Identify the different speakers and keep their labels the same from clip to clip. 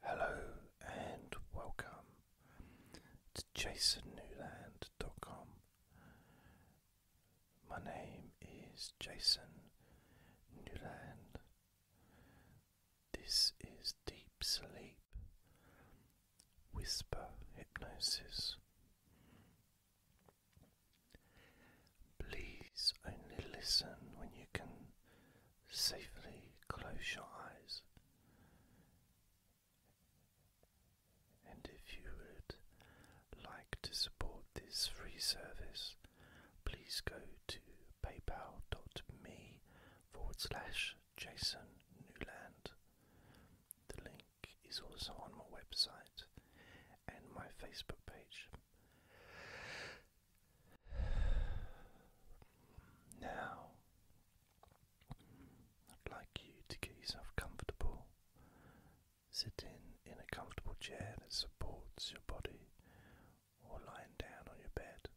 Speaker 1: Hello and welcome to jasonnewland.com. My name is Jason Newland. This is Deep Sleep Whisper Hypnosis. Please only listen when you can safely close your eyes. And if you would like to support this free service, please go to paypal.me forward slash Jason Newland. The link is also on my website and my Facebook page. Now, I'd like you to get yourself comfortable. Sitting in a comfortable chair that supports your body or lying down on your bed.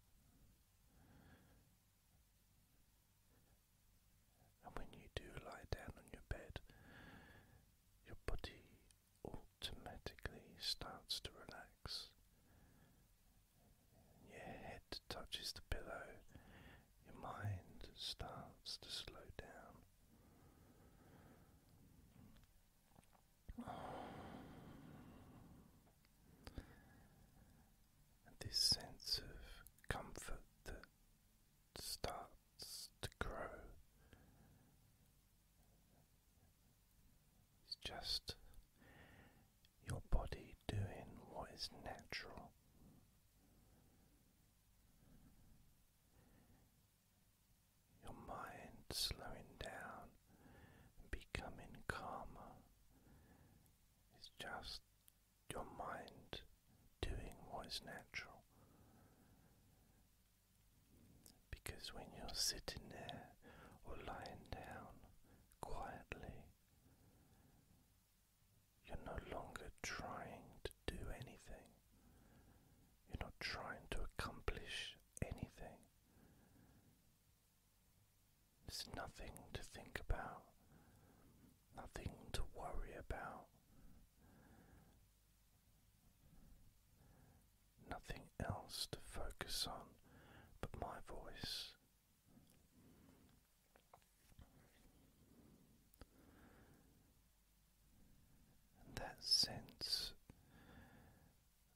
Speaker 1: And when you do lie down on your bed, your body automatically starts to relax. Your head touches the pillow, your mind starts to slow down. this sense of comfort that starts to grow it's just your body doing what is natural. Your mind slowing down becoming calmer. It's just your mind doing what is natural. Because when you're sitting there or lying down quietly, you're no longer trying to do anything, you're not trying to accomplish anything. There's nothing to think about, nothing to worry about nothing else to focus on but my voice. And that sense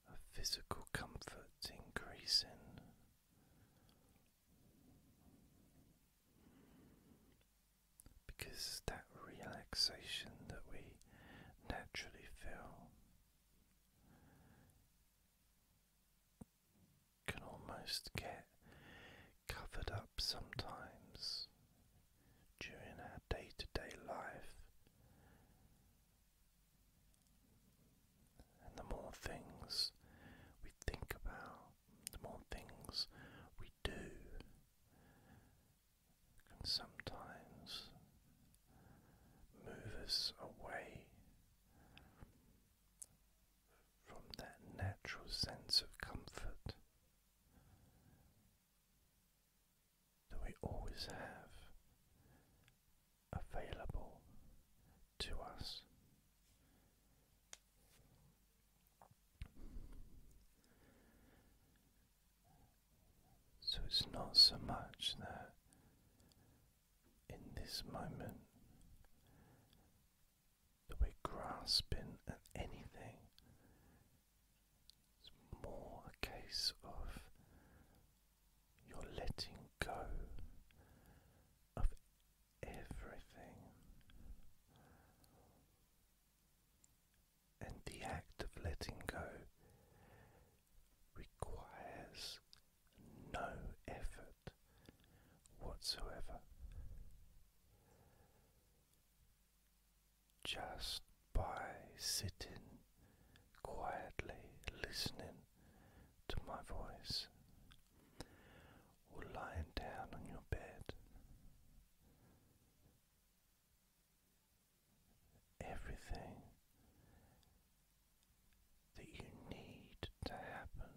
Speaker 1: of physical comfort increasing. Because that relaxation that we naturally feel can almost get covered up sometimes during our day to day life. And the more things we think about, the more things we do, can sometimes move us away from that natural sense of comfort that we always have available to us. So it's not so much that in this moment that we're grasping at anything, it's more a case of you're letting go of everything. And the act of letting go requires no effort whatsoever. Just by sitting quietly listening to my voice, or lying down on your bed, everything that you need to happen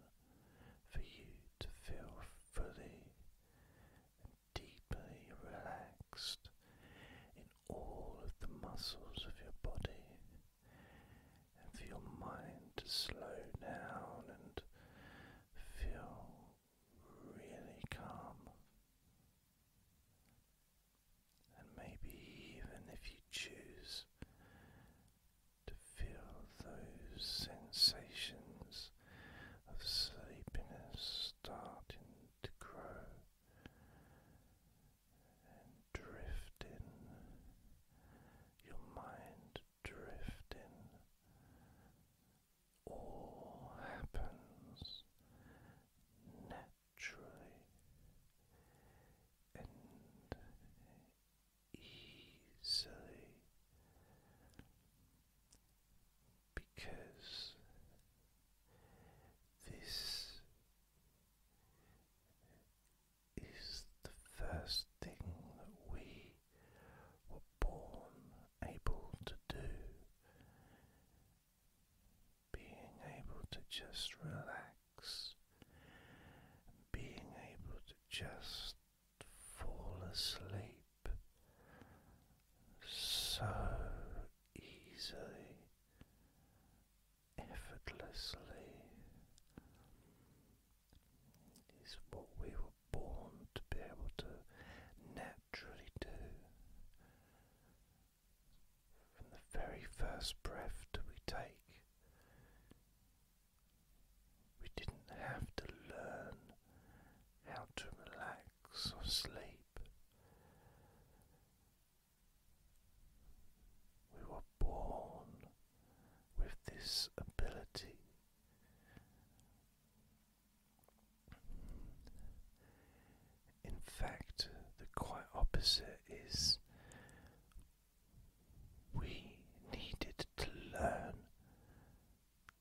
Speaker 1: for you to feel fully and deeply relaxed in all of the muscles of your body and for your mind to slow down and feel really calm and maybe even if you choose to feel those sensations of sleepiness starting to grow and drifting, your mind drifting, all happens naturally and easily because this is the first thing that we were born able to do being able to just relax, being able to just fall asleep so easily, effortlessly, is what we were born to be able to naturally do from the very first breath that we take. We didn't have to learn how to relax or sleep. We were born with this ability. In fact, the quite opposite is we needed to learn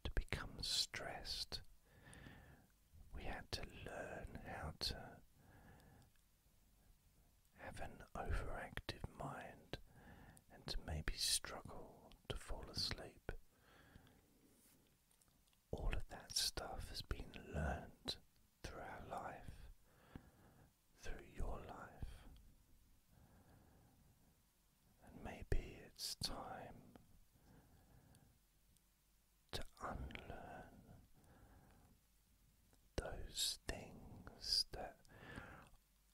Speaker 1: to become stressed. We had to learn how to have an overactive mind and to maybe struggle to fall asleep all of that stuff has been learned through our life, through your life. And maybe it's time to unlearn those things that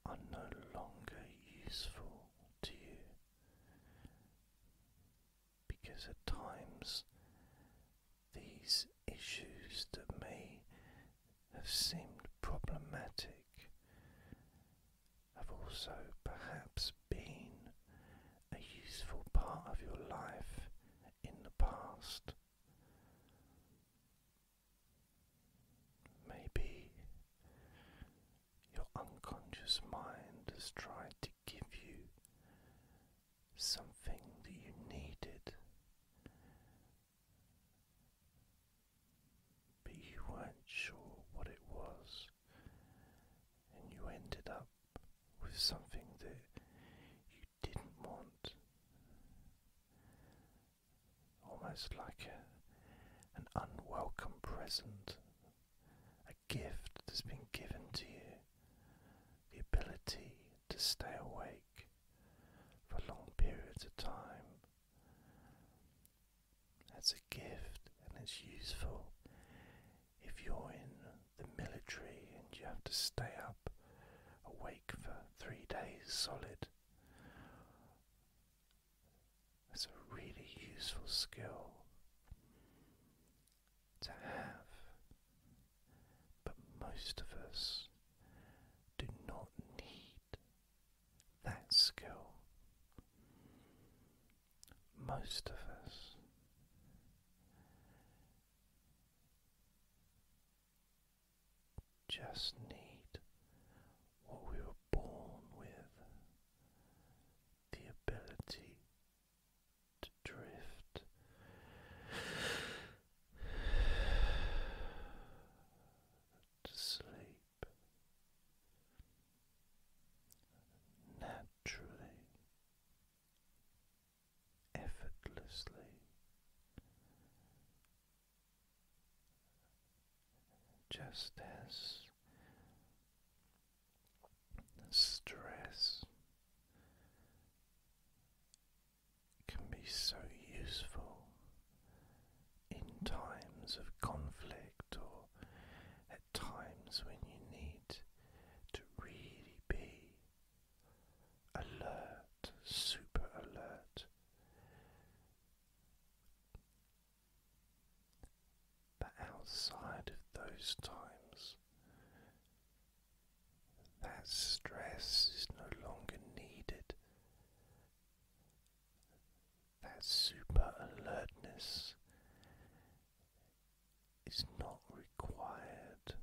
Speaker 1: are no longer useful to you because at times these issues that may have seemed problematic have also perhaps been a useful part of your life in the past. Maybe your unconscious mind has tried to give you something that you needed, but you weren't sure what it was, and you ended up with something that you didn't want. Almost like an unwelcome present, a gift that's been given to you the ability to stay awake for long periods of time. That's a gift and it's useful if you're in the military and you have to stay up awake for three days solid. That's a really useful skill to have. But most of us do not need that skill. Most of us just need what we were born with the ability to drift to sleep naturally, effortlessly, just as stress can be so useful in times of conflict or at times when you need to really be alert, super alert. But outside of those times, that stress is no longer needed. That super alertness is not required.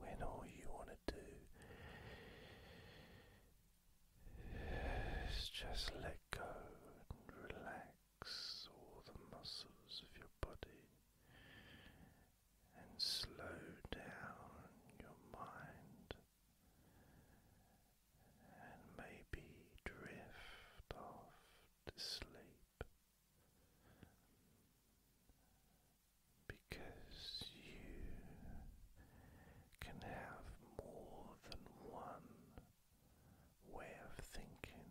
Speaker 1: When all you want to do is just let go and relax. Relax the muscles of your body and slow down your mind and maybe drift off to sleep because you can have more than one way of thinking.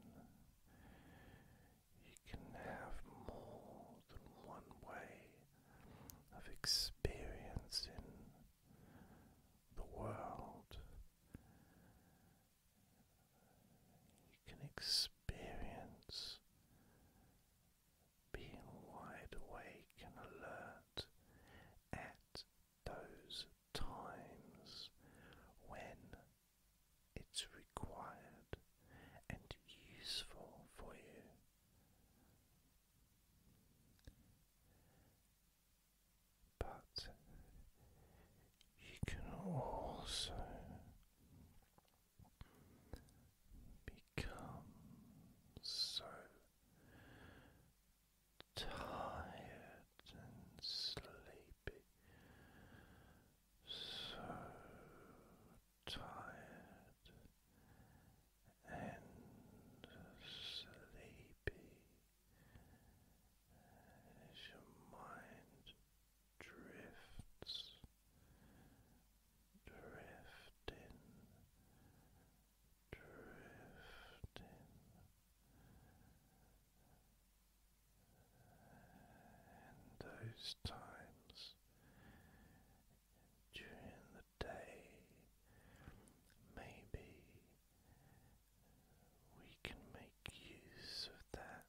Speaker 1: You can have more than one way of experiencing the world. You can experience being wide awake and alert at those times when it's required and useful for you. But you can also become so tired and sleepy, so tired and sleepy as your mind drifts, drifting, drifting those times during the day, maybe we can make use of that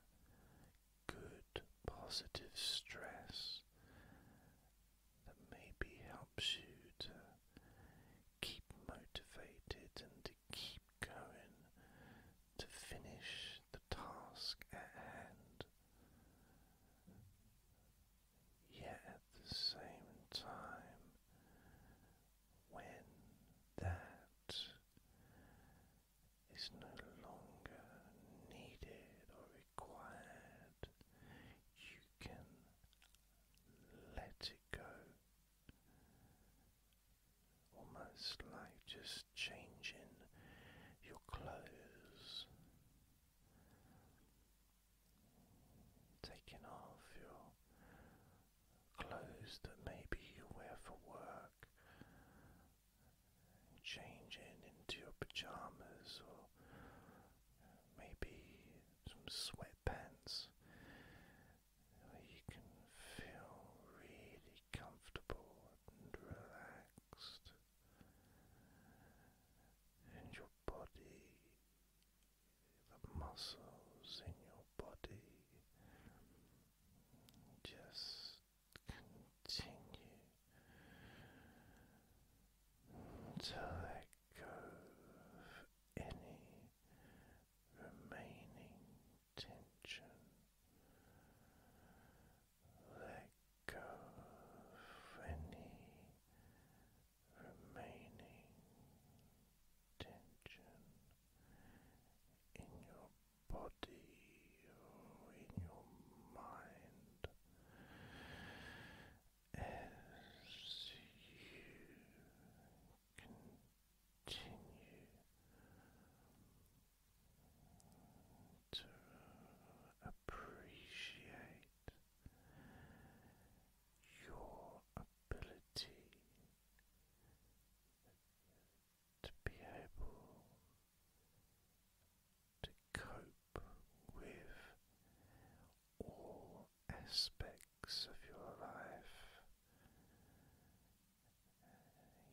Speaker 1: good positive stress that maybe helps you to. Keep motivated and to keep going to finish the task at hand. Yet at the same time, when that is no longer needed or required, you can let it go almost like just changing your clothes, taking off your clothes that maybe you wear for work, changing into your pajamas or maybe some sweatpants you can feel really comfortable and relaxed, and your body, the muscles in your body just continue to let go of any remaining tension. Let go of any remaining tension in your body or in your mind as you. Continue continue to appreciate your ability to be able to cope with all aspects of your life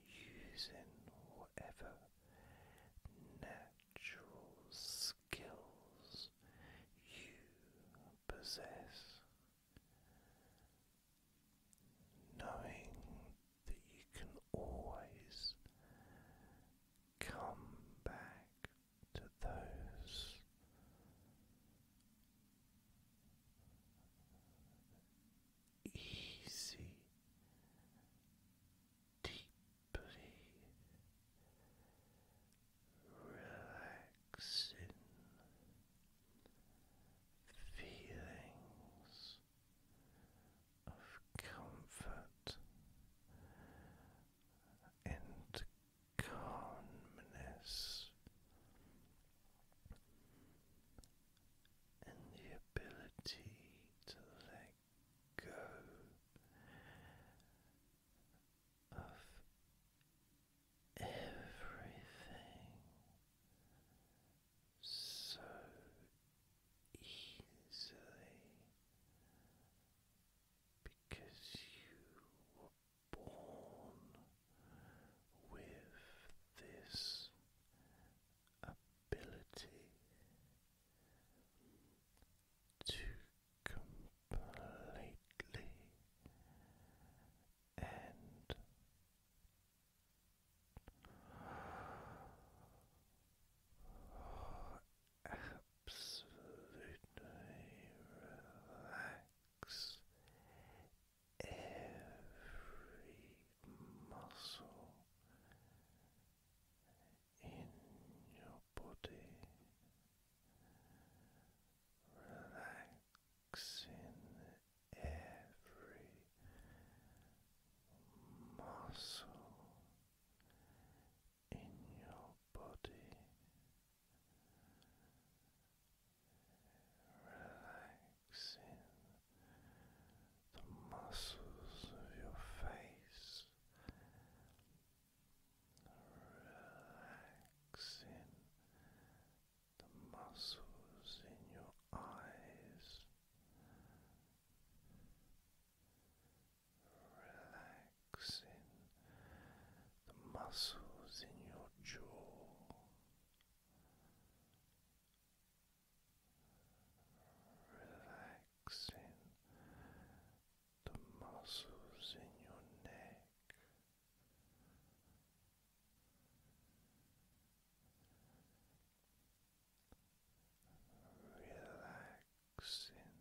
Speaker 1: using whatever natural skills you possess, knowing that you can always come back to those easy, deeply relaxing feelings of comfort and calmness and the ability to let go of everything so easily because you born with this ability to completely and Absolutely relax every muscle in your body relaxing every muscle in your body relaxing the muscles of your face, relaxing the muscles in your eyes. Relaxing the muscles in your jaw, relaxing the muscles in your neck. Relaxing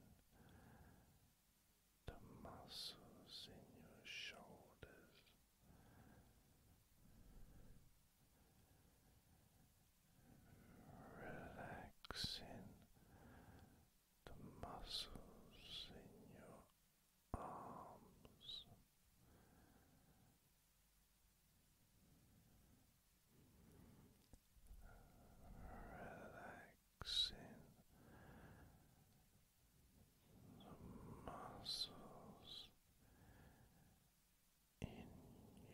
Speaker 1: the muscles in your shoulders, relaxing the muscles in your arms. Relaxing the muscles in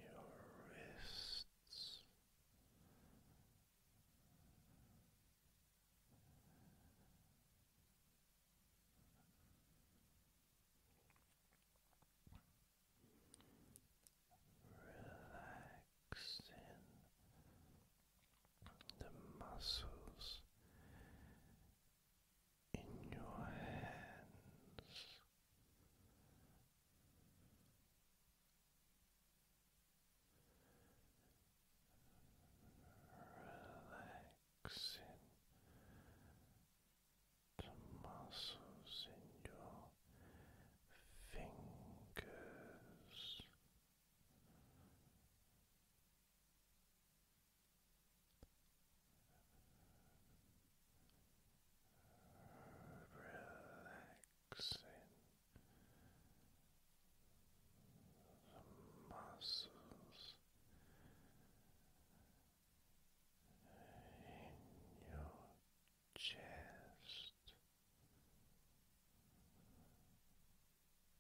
Speaker 1: your wrists. Relaxing the muscles in your hands. Relaxing the muscles in your fingers relaxing muscles in your chest. Relaxing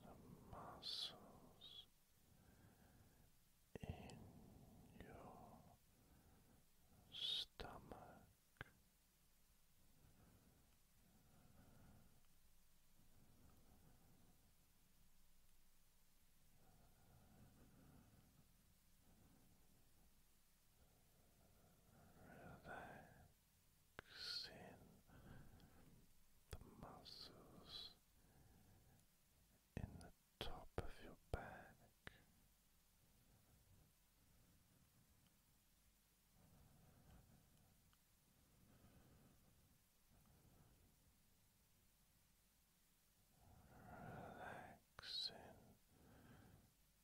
Speaker 1: the muscles in your stomach. Relaxing the muscles in the top of your back relaxing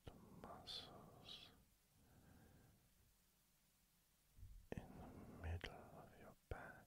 Speaker 1: the muscles in the middle of your back.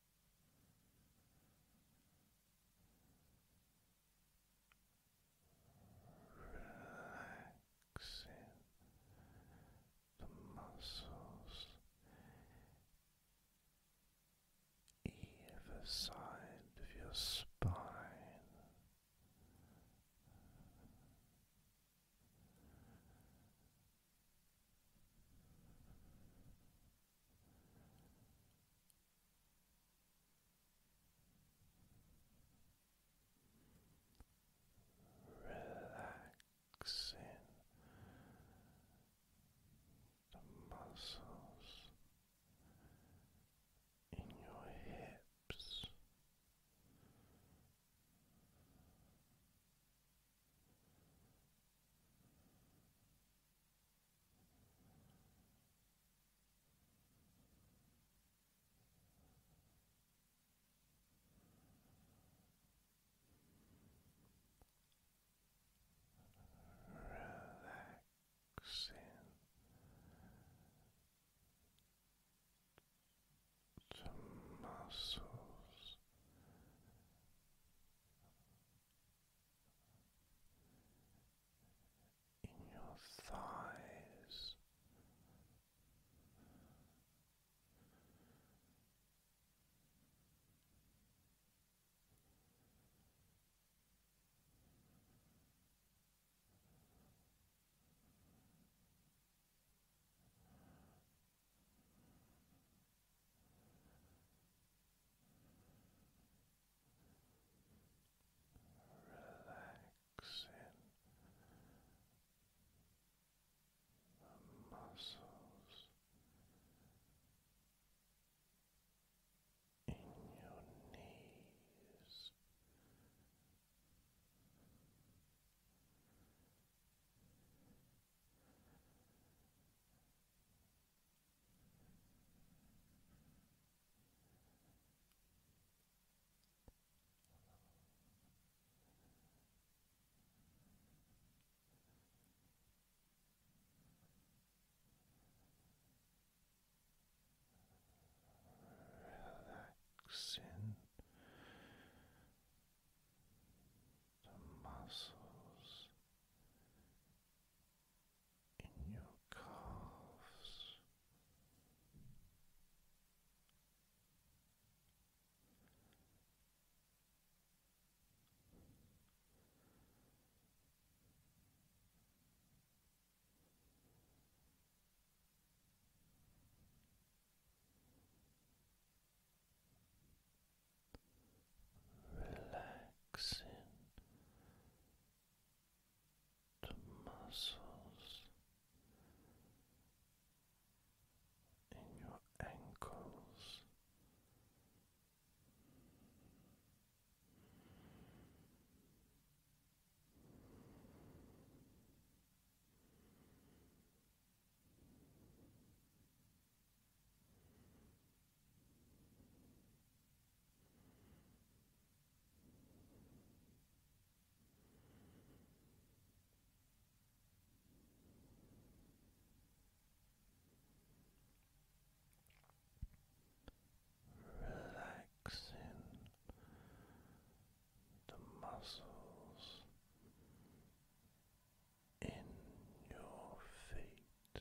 Speaker 1: relaxing the muscles either side of your spine relaxing the muscles in your hips. Relaxing the muscles in your thighs relaxing the muscles in your knees. Relaxing the muscles in your calves relaxing the muscles in your ankles. Relaxing the muscles in your feet.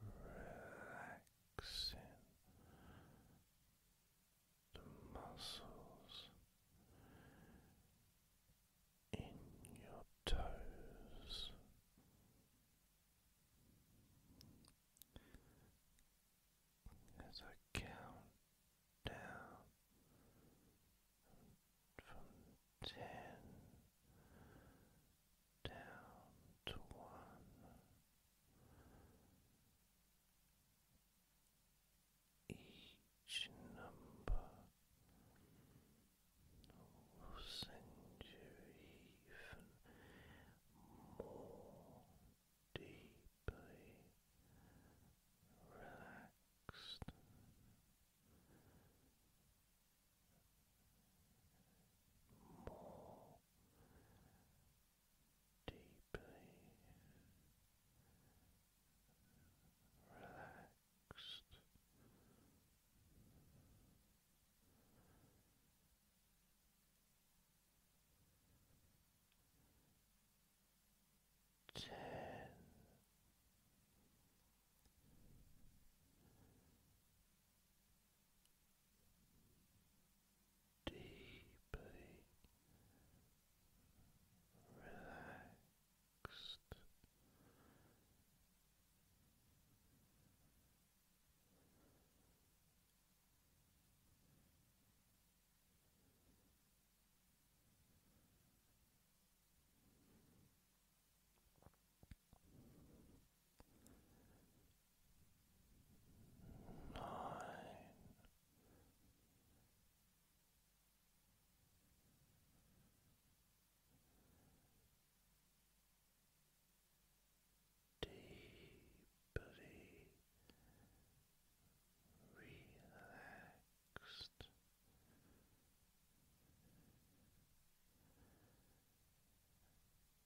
Speaker 1: relaxing the muscles in your toes. As I count down from ten down to one. Each number will send you even more deeply relaxed more deeply relaxed. Ten deeply relaxed nine. Deeply relaxed,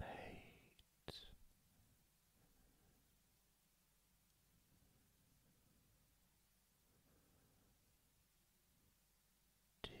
Speaker 1: Eight. Deep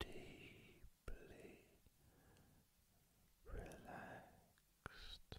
Speaker 1: Deeply relaxed.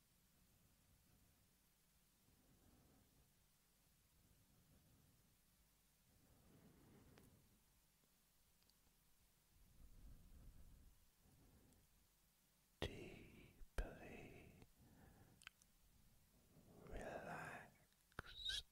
Speaker 1: Deeply relaxed,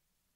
Speaker 1: Deeply relaxed.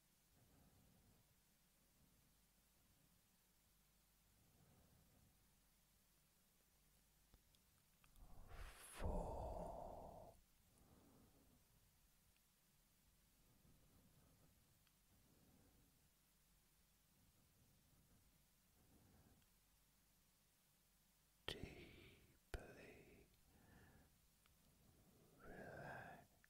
Speaker 1: Four. Deeply relaxed.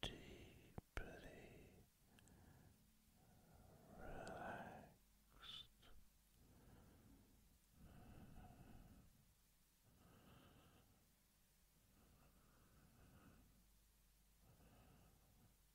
Speaker 1: Deeply relaxed.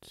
Speaker 1: Two. Deeply